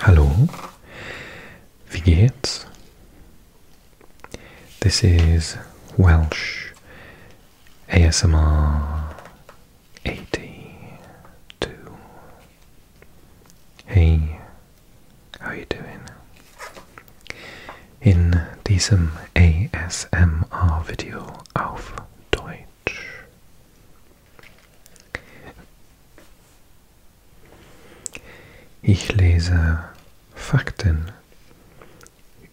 Hallo, wie geht's? This is Welsh ASMR 82. Hey, how are you doing? In this ASMR Video auf Deutsch Ich lese Fakten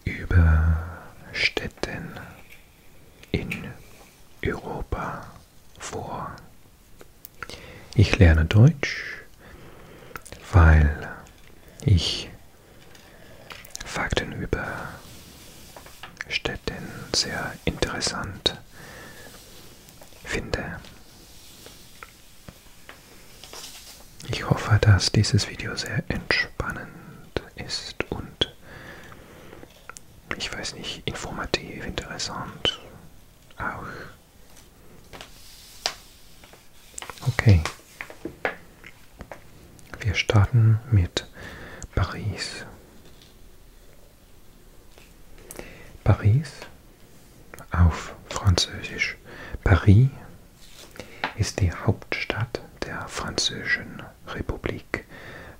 über Städten in Europa vor. Ich lerne Deutsch, weil ich Fakten über Städten sehr interessant finde. Ich hoffe, dass dieses Video sehr entspannend ist und ich weiß nicht, informativ, interessant auch. Okay. Wir starten mit Paris. Paris auf Französisch. Paris ist die Hauptstadt der Französischen Republik,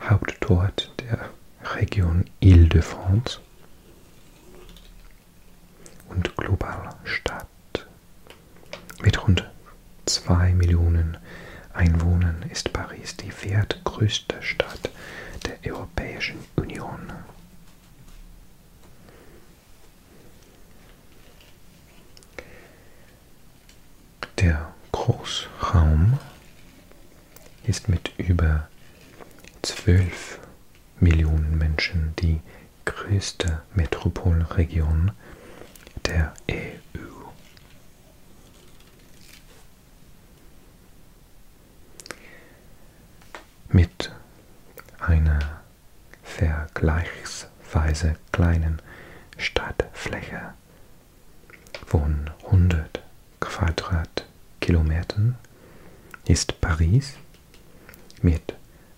Hauptort der Region Île-de-France und Globalstadt mit rund 2 Millionen Einwohnern ist Paris die viertgrößte Stadt der Europäischen Union. Der Großraum ist mit über 12 Millionen Menschen die größte Metropolregion der EU. Mit einer vergleichsweise kleinen Stadtfläche von 100 Quadratkilometern ist Paris mit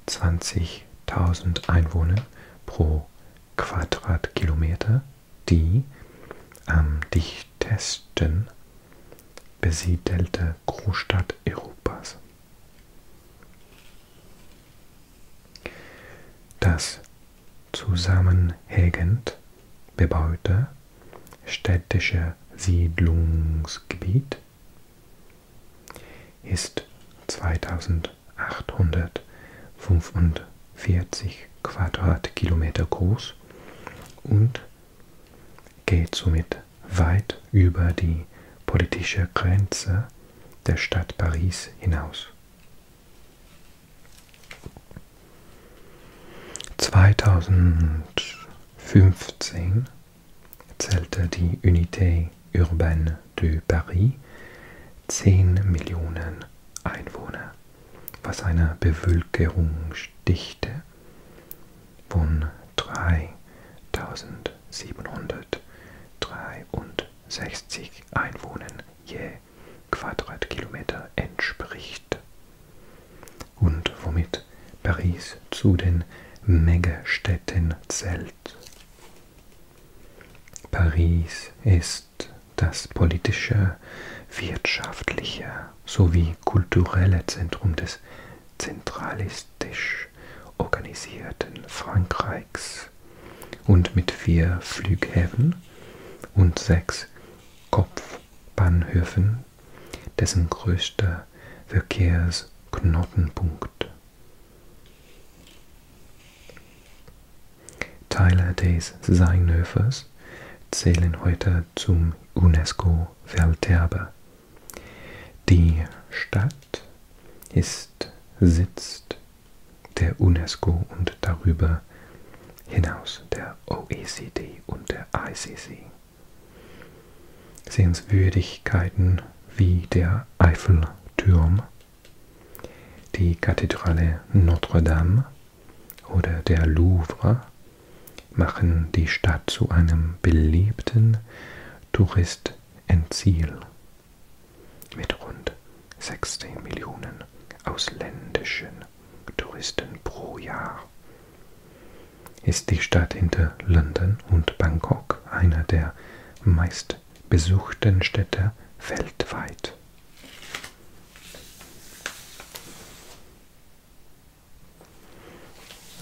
20.000 Einwohnern pro Quadratkilometer die am ähm, dichtesten besiedelte Großstadt Europas. Das zusammenhängend bebaute städtische Siedlungsgebiet ist 2000 1845 Quadratkilometer groß und geht somit weit über die politische Grenze der Stadt Paris hinaus. 2015 zählte die Unité Urbaine de Paris 10 Millionen Einwohner, was einer Bevölkerung dichte von 3763 Einwohnern je Quadratkilometer entspricht und womit Paris zu den Megastädten zählt. Paris ist ist das politische, wirtschaftliche sowie kulturelle Zentrum des zentralistisch organisierten Frankreichs und mit vier Flughäfen und sechs Kopfbahnhöfen dessen größter Verkehrsknotenpunkt. Teile des Seinhöfes zählen heute zum UNESCO-Welterbe. Die Stadt ist Sitz der UNESCO und darüber hinaus der OECD und der ICC. Sehenswürdigkeiten wie der Eiffelturm die Kathedrale Notre-Dame oder der Louvre machen die Stadt zu einem beliebten Touristenziel mit rund 16 Millionen ausländischen Touristen pro Jahr. Ist die Stadt hinter London und Bangkok eine der meistbesuchten Städte weltweit.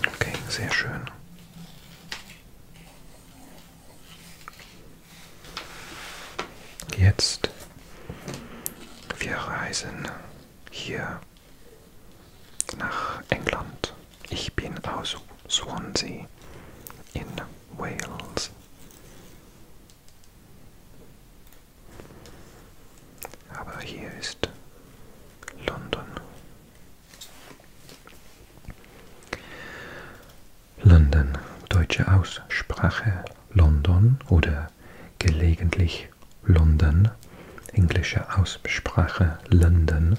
Okay, sehr schön. Jetzt, wir reisen hier nach England. Ich bin aus Swansea in Wales. Aber hier ist London. London, deutsche Aussprache London oder gelegentlich London, englische Aussprache London,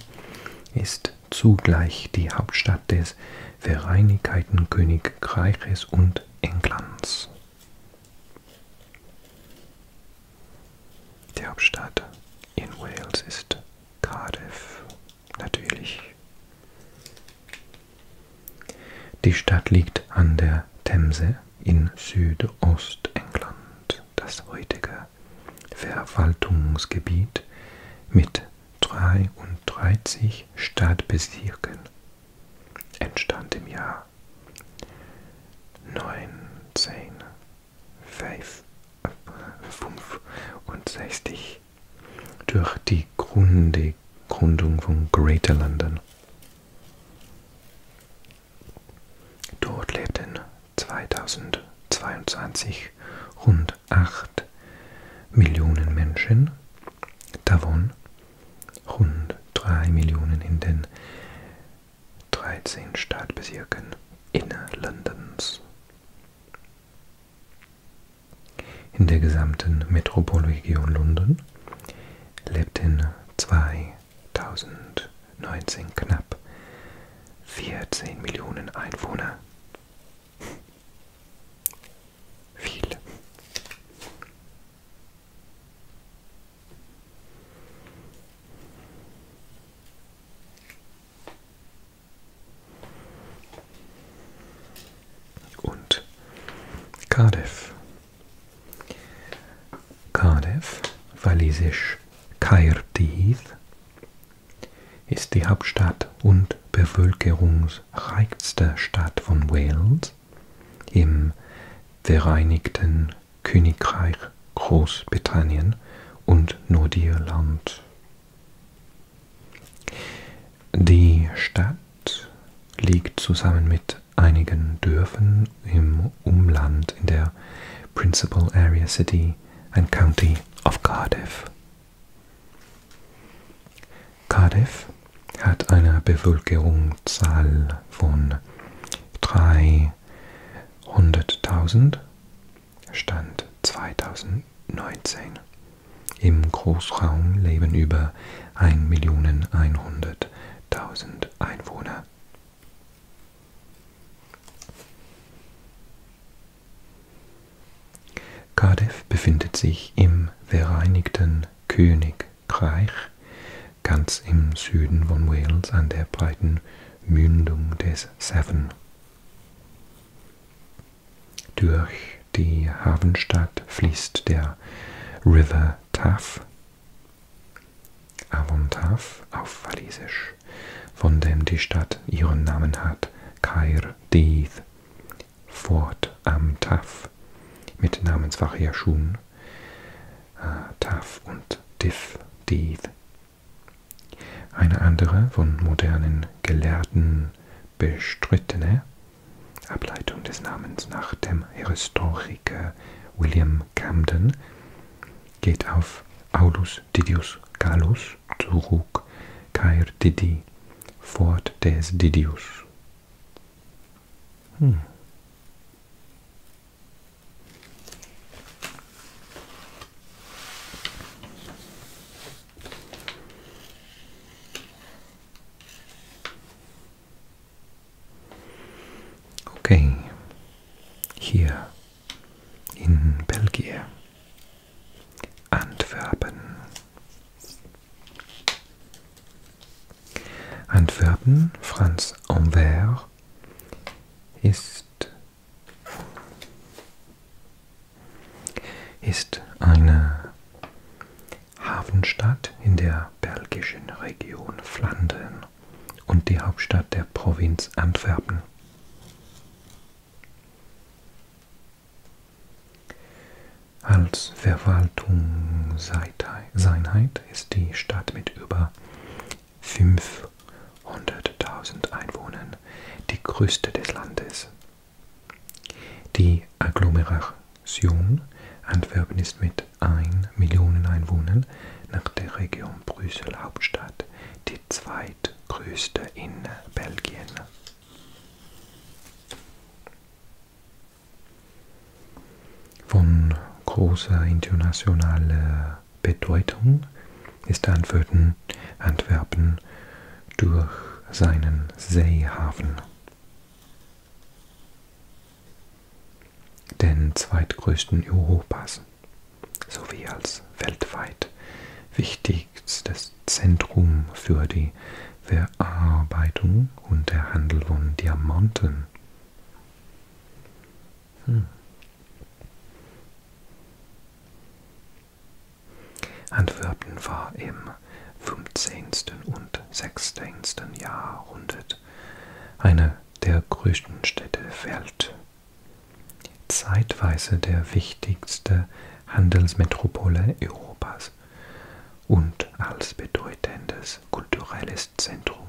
ist zugleich die Hauptstadt des Vereinigten Königreiches und und Englands. Die Hauptstadt in Wales ist Cardiff, natürlich. Die Stadt liegt an der Themse in Südostengland, das heutige Verwaltungsgebiet mit 33 Stadtbezirken entstand im Jahr 1965 durch die Grunde, Gründung von Greater London. Dort lebten 2022 rund 8 Millionen Menschen davon rund 3 Millionen in den 13 Stadtbezirken Innerlandens. In der gesamten Metropolregion London lebten 2019 knapp 14 Millionen Einwohner. Viel. Und Cardiff. Cardiff, walisisch Caerdydd, ist die Hauptstadt und bevölkerungsreichste Stadt von Wales im Vereinigten Königreich Großbritannien und Nordirland. Die Stadt liegt zusammen mit einigen Dörfern im Umland in der Principal Area City and County of Cardiff. Cardiff hat eine Bevölkerungszahl von 300.000 Stand 2019. Im Großraum leben über 1.100.000 Einwohner. Cardiff befindet sich im Vereinigten Königreich. Frankreich, ganz im Süden von Wales an der breiten Mündung des Severn. Durch die Hafenstadt fließt der River Taff, Avon Taff auf Walisisch, von dem die Stadt ihren Namen hat, Caer Dydd, Fort am Taf mit Namensvariationen äh, Taf und Div, Div. Eine andere von modernen Gelehrten bestrittene Ableitung des Namens nach dem Historiker William Camden geht auf Aulus Didius Gallus zurück, Caer Didi, Fort des Didius hm. Okay, hier in Belgien, Antwerpen. Antwerpen, Franz Ambert, ist, ist eine Hafenstadt in der belgischen Region Flandern und die Hauptstadt der Provinz Antwerpen. Als Verwaltungseinheit ist die Stadt mit über 500.000 Einwohnern die größte des Landes. Die Agglomeration Antwerpen ist mit 1 Million Einwohnern nach der Region Brüssel Hauptstadt die zweitgrößte in Belgien. Von großer internationaler Bedeutung ist Antwerpen, Antwerpen durch seinen Seehafen. Den zweitgrößten Europas sowie als weltweit wichtigstes Zentrum für die Verarbeitung und der Handel von Diamanten. Hm. Antwerpen war im 15. und 16. Jahrhundert eine der größten Städte der Welt, zeitweise der wichtigste Handelsmetropole Europas. Europas und als bedeutendes kulturelles Zentrum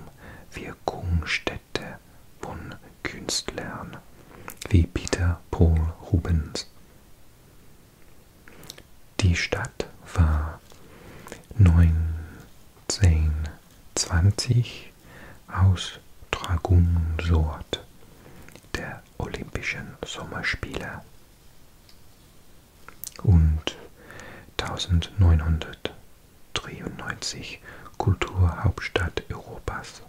Wirkungsstätte von Künstlern wie Peter Paul Rubens. Die Stadt war 1920 Austragungsort der Olympischen Sommerspiele und 1993 Kulturhauptstadt Europas.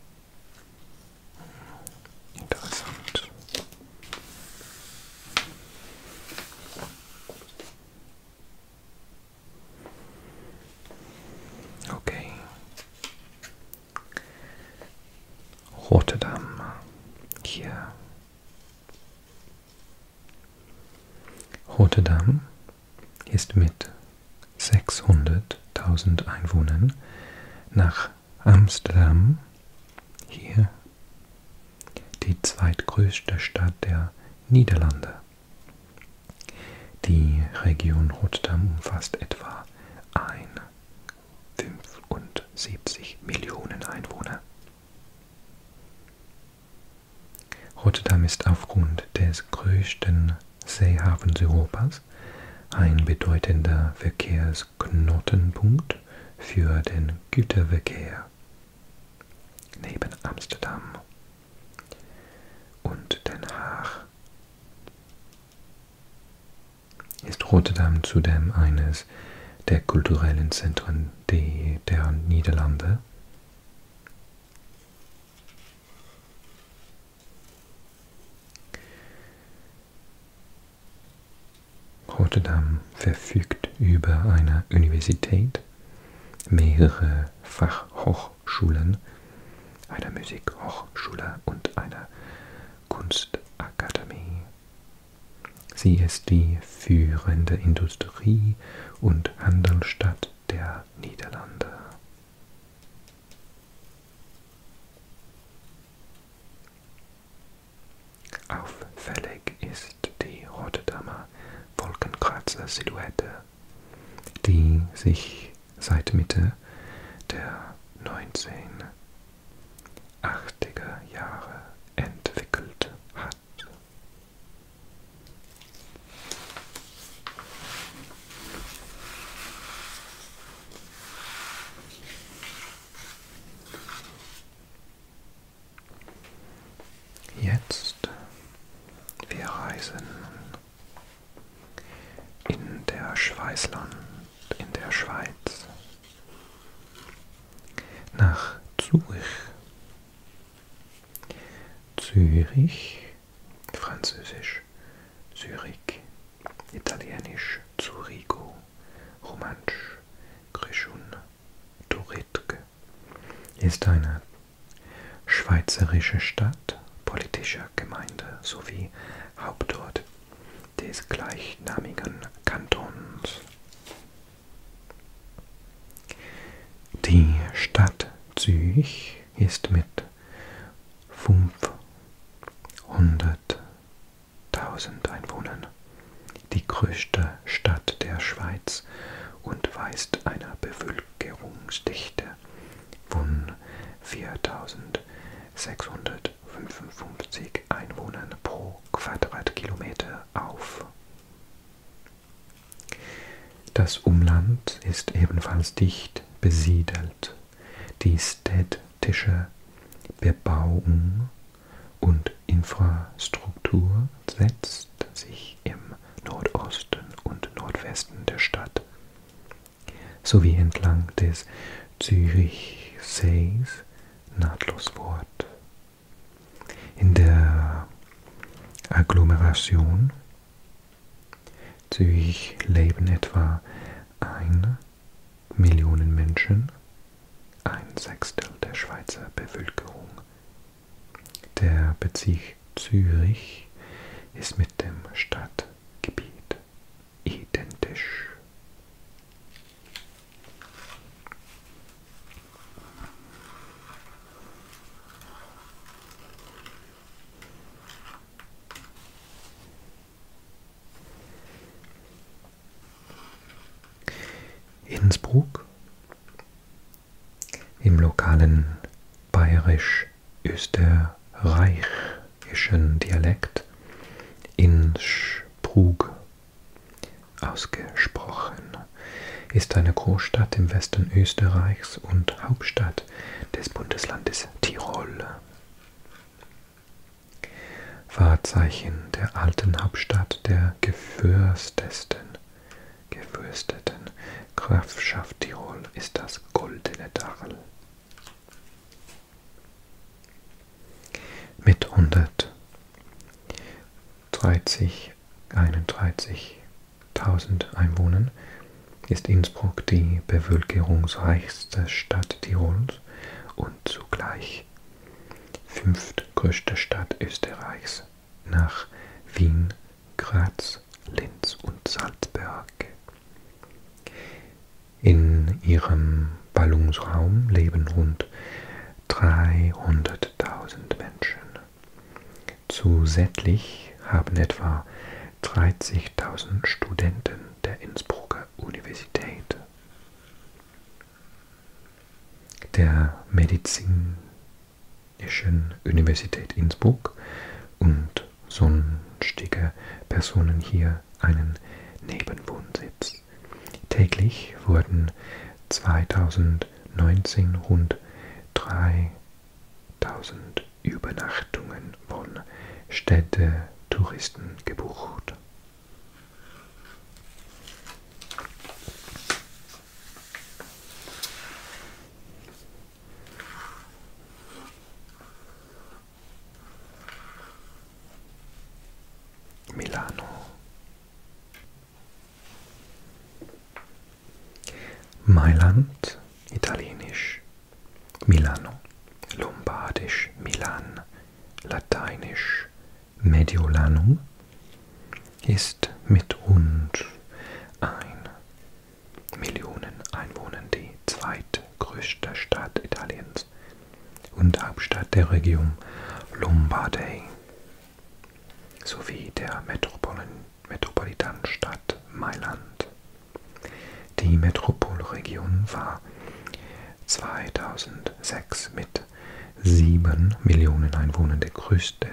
Interessant. Okay. Rotterdam hier Rotterdam ist mit 600.000 Einwohnern nach Amsterdam, hier die zweitgrößte Stadt der Niederlande. Die Region Rotterdam umfasst etwa ein 75 Millionen Einwohner. Rotterdam ist aufgrund des größten Seehafens Europas ein bedeutender Verkehrsknotenpunkt für den Güterverkehr neben Amsterdam und Den Haag. Ist Rotterdam zudem eines der kulturellen Zentren die der Niederlande. Rotterdam verfügt über eine Universität, mehrere Fachhochschulen, eine Musikhochschule und eine Kunstakademie. Sie ist die führende Industrie- und Handelsstadt der Niederlande. Auffällig ist die Rotterdamer Wolkenkratzer-Silhouette, die sich seit Mitte der 1980er Jahre entwickelt hat. Jetzt, wir reisen in der Schweißland, in der Schweiz nach Zürich. Zürich, Französisch, Zürich, Italienisch, Zurigo, Romansch, Grischun, Turitk ist eine schweizerische Stadt, politischer Gemeinde sowie Hauptort des gleichnamigen Kantons. Die Stadt Zürich ist mit 500.000 Einwohnern die größte Stadt der Schweiz und weist eine Bevölkerungsdichte von 4.655 Einwohnern pro Quadratkilometer auf. Das Umland ist ebenfalls dicht besiedelt. Die städtische Bebauung und Infrastruktur setzt sich im Nordosten und Nordwesten der Stadt sowie entlang des Zürichsees nahtlos fort in der Agglomeration Zürich leben etwa ein Millionen Menschen, ein Sechstel der Schweizer Bevölkerung. Der Bezirk Zürich ist mit dem Stadtgebiet identisch. Innsbruck im lokalen bayerisch-österreichischen Dialekt Innsbruck ausgesprochen, ist eine Großstadt im Westen Österreichs und Hauptstadt des Bundeslandes Tirol. Wahrzeichen der alten Hauptstadt der gefürstesten, gefürsteten Grafschaft Tirol ist das Goldene Tal. Mit 100 30, 31.000 Einwohnern ist Innsbruck die bevölkerungsreichste Stadt Tirols und zugleich fünftgrößte Stadt Österreichs nach Wien, Graz, Linz und Salzburg. In ihrem Ballungsraum leben rund 300.000 Menschen. Zusätzlich haben etwa 30.000 Studenten der Innsbrucker Universität, der Medizinischen Universität Innsbruck und sonstige Personen hier einen Nebenwohnsitz. Täglich wurden 2000 2019 rund 3000 Übernachtungen von Städtetouristen gebucht. Milano Mailand, Italienisch, Milano, Lombardisch, Milan, Lateinisch, Mediolanum ist mit rund ein Millionen Einwohnern die zweitgrößte Stadt Italiens und Hauptstadt der Region Lombardei sowie der Metropol Metropolitanstadt Mailand. Die Metropolregion war 2006 mit 7 Millionen Einwohnern der größte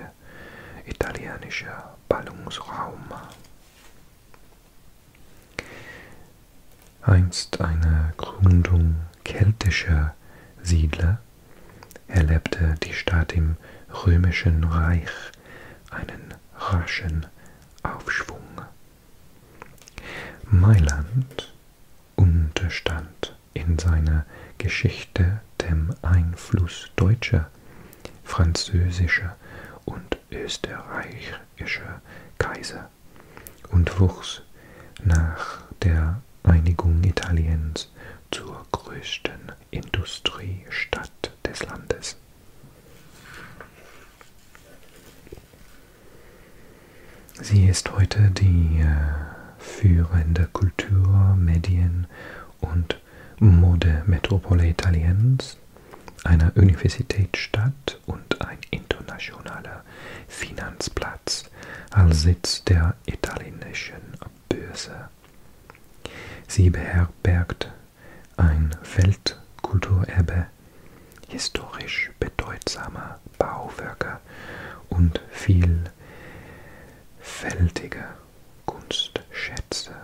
italienische Ballungsraum. Einst eine Gründung keltischer Siedler. Er lebte die Stadt im Römischen Reich einen raschen Aufschwung. Mailand unterstand in seiner Geschichte dem Einfluss deutscher, französischer und österreichischer Kaiser und wuchs nach der Einigung Italiens Deutschlands zur größten Industriestadt des Landes. Sie ist heute die äh, führende Kultur-, Medien- und Modemetropole Italiens, eine Universitätsstadt und ein internationaler Finanzplatz als Sitz der italienischen böse. Sie beherbergt ein Weltkulturerbe historisch bedeutsamer Bauwerke und vielfältige Kunstschätze,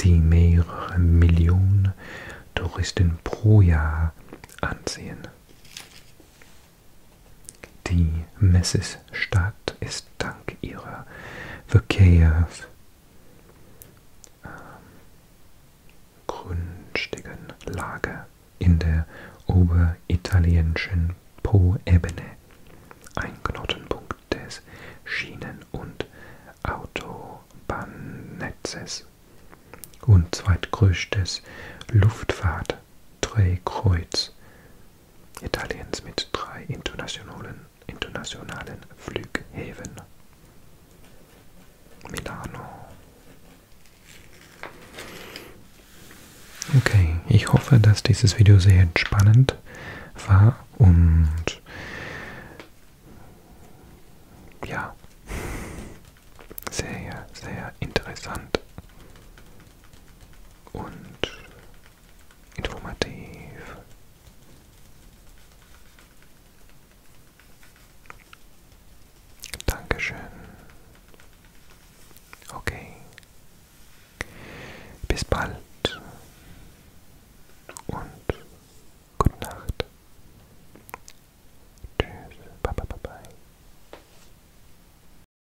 die mehrere Millionen Touristen pro Jahr anziehen. Die Messesstadt ist dank ihrer Verkehrs ähm, grundstigen Lage in der oberitalienischen Poebene ein Knotenpunkt des Schienen- und Autobahnnetzes und zweitgrößtes Luftfahrtdrehkreuz Italiens mit drei internationalen, internationalen Flughäfen. Milano. Okay, ich hoffe, dass dieses Video sehr entspannend war und ja, sehr, sehr interessant und informativ. Dankeschön. Okay. Bis bald und gute Nacht. Tschüss. Bye, bye, bye, bye.